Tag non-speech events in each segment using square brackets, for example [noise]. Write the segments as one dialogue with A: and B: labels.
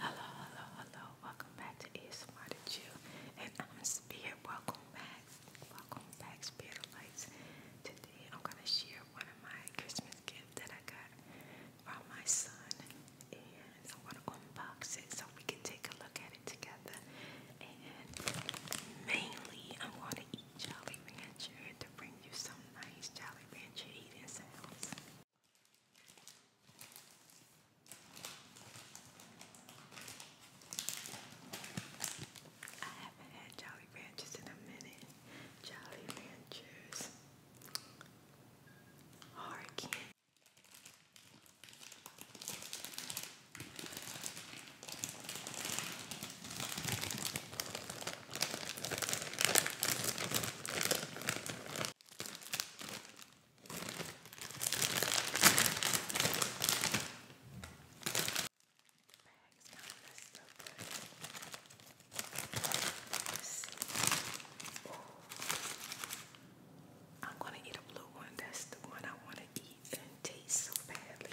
A: Hello, hello, hello. Welcome back to ASMR to Chill. And I'm Spirit. Welcome back. Welcome back, Spirit Lights. Today I'm going to share one of my Christmas gifts that I got from my son. And I'm going to unbox it so we can take a look at it together. And mainly I'm going to eat Jolly Rancher to bring you some nice Jolly Rancher eating sounds. I haven't had Jolly Ranchers in a minute. Jolly Ranchers. Hard candy. I'm gonna eat a blue one. That's the one I want to eat and taste so badly.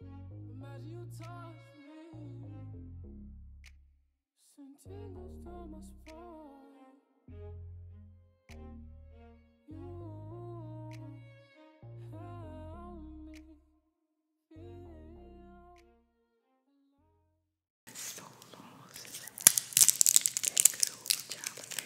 A: Imagine you touch me. Send tingles down my spine. You help me feel So long since good old job of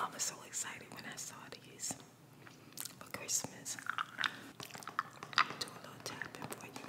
A: I was so excited when I saw these for Christmas. Do a little tapping for you.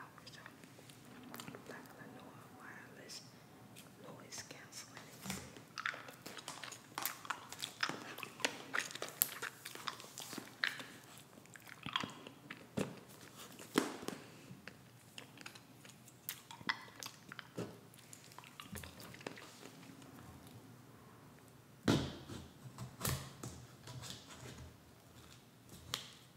A: hours. Black Lenoir wireless noise canceling.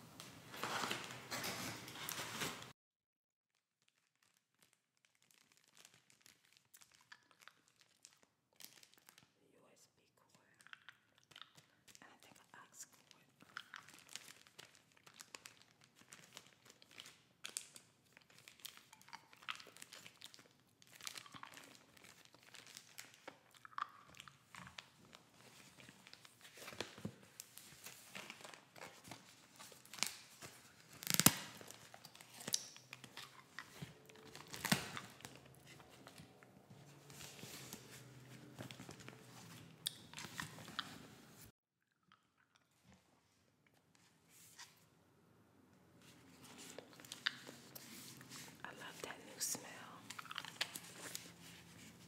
A: The USB cord. And I think an ox cord. I love that new smell.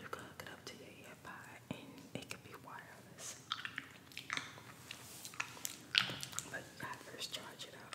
A: You can hook up to your earbud and it can be wireless. But you gotta first charge it up.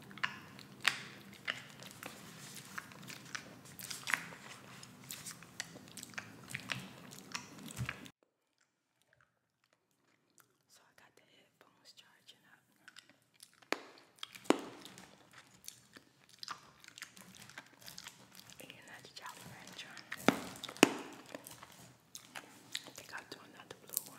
A: So I got the headphones charging up. And I just you I think I'll do another blue one.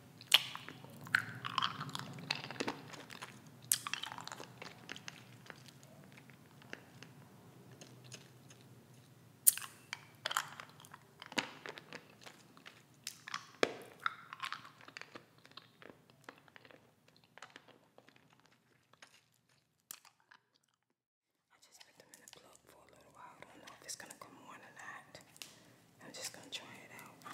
A: I just put them in the plug for a little while. don't know if it's gonna come on or not. I'm just gonna try it out.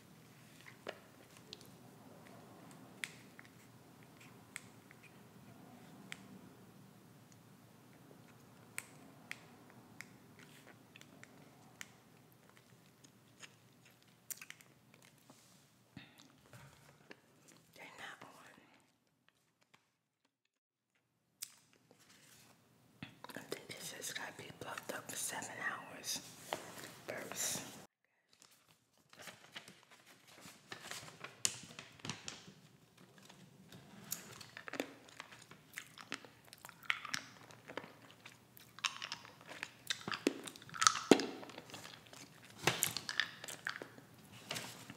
A: They're not on this has got to be bluffed up for seven hours first.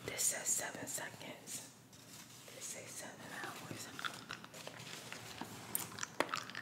A: This says seven seconds. says seven hours.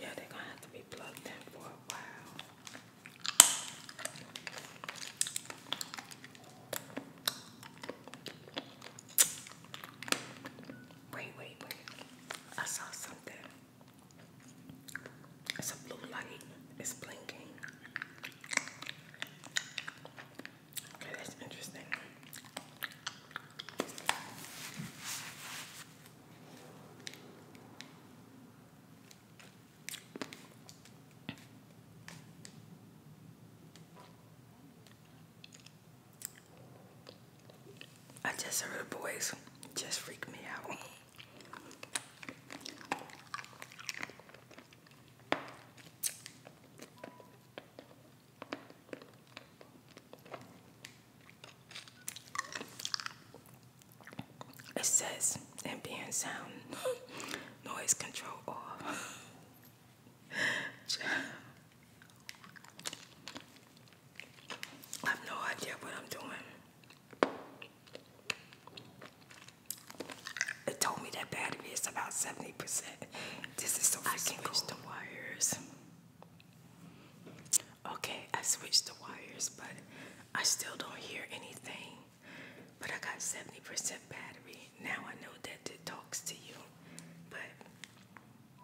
A: Yeah, they're gonna have to be plugged in for a while. Wait, wait, wait. I saw something. It's a blue light. It's blinking. Okay, that's interesting. I just heard a voice just freaked me out. It says ambient sound [laughs] noise control off. [laughs] I have no idea what I'm doing. It told me that battery is about 70%. This is so I can switch cool. the wires. Okay, I switched the wires, but I still don't hear anything. But I got 70% battery. Now I know that it talks to you, but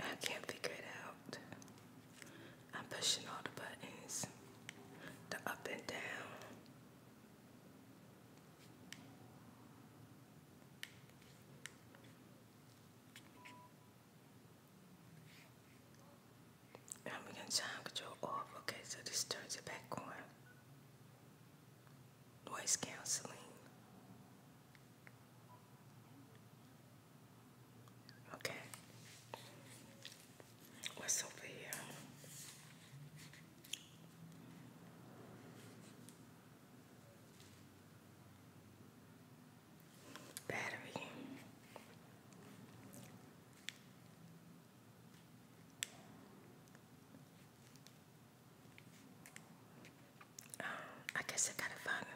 A: I can't figure it out. I'm pushing all the buttons, the up and down. And we can time control off. Okay, so this turns it back on voice counseling. Okay. What's over here? Battery. I guess I gotta find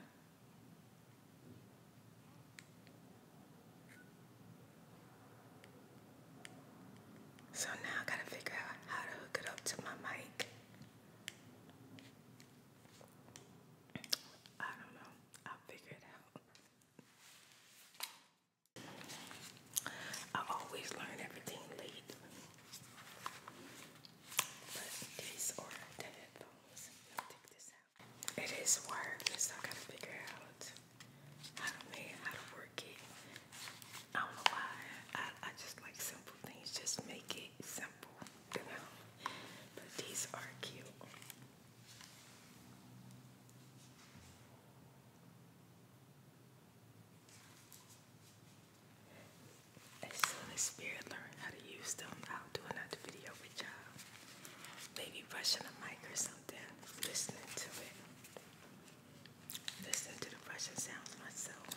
A: So now I gotta figure out how to hook it up to my mic. I don't know. I'll figure it out. I always learn everything late. But these are headphones. take this out. It is wireless. I gotta figure out how to make how to work it. I don't know why. I, I just like simple things. Just make it simple, you know. But these are cute. As soon as Spirit learned how to use them, I'll do another video with y'all. Maybe brushing a mic or something, listening to it. Listening to the brushing sounds myself.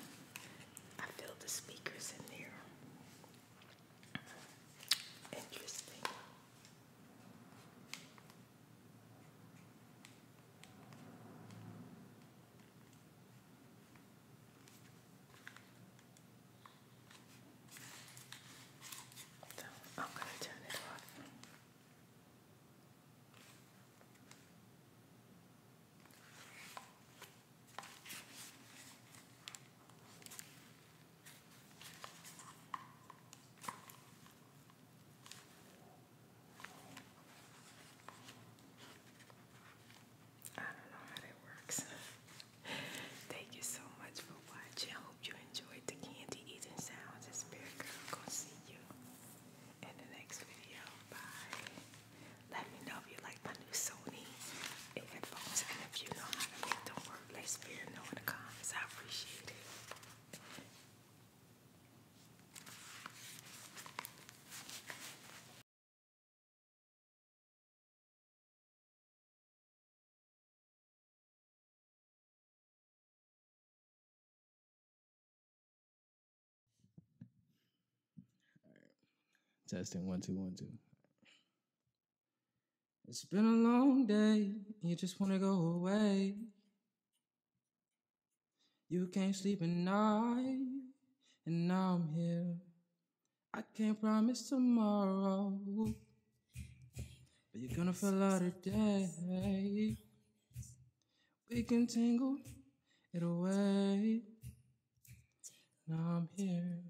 A: I feel the speakers in there. Interesting. So I'm going to turn it off. I don't know how that works. [laughs] Thank you so much for watching. I hope you enjoyed the candy eating sounds. It's Spirit Girl. Gonna see you in the next video. Bye. Let me know if you like my new Sony headphones and if you know how to make them work. Let Spirit know in the comments. I appreciate it. Testing one two one two. It's been a long day. You just want to go away. You can't sleep at night, and now I'm here. I can't promise tomorrow, but you're gonna feel out today. We can tangle it away. and I'm here.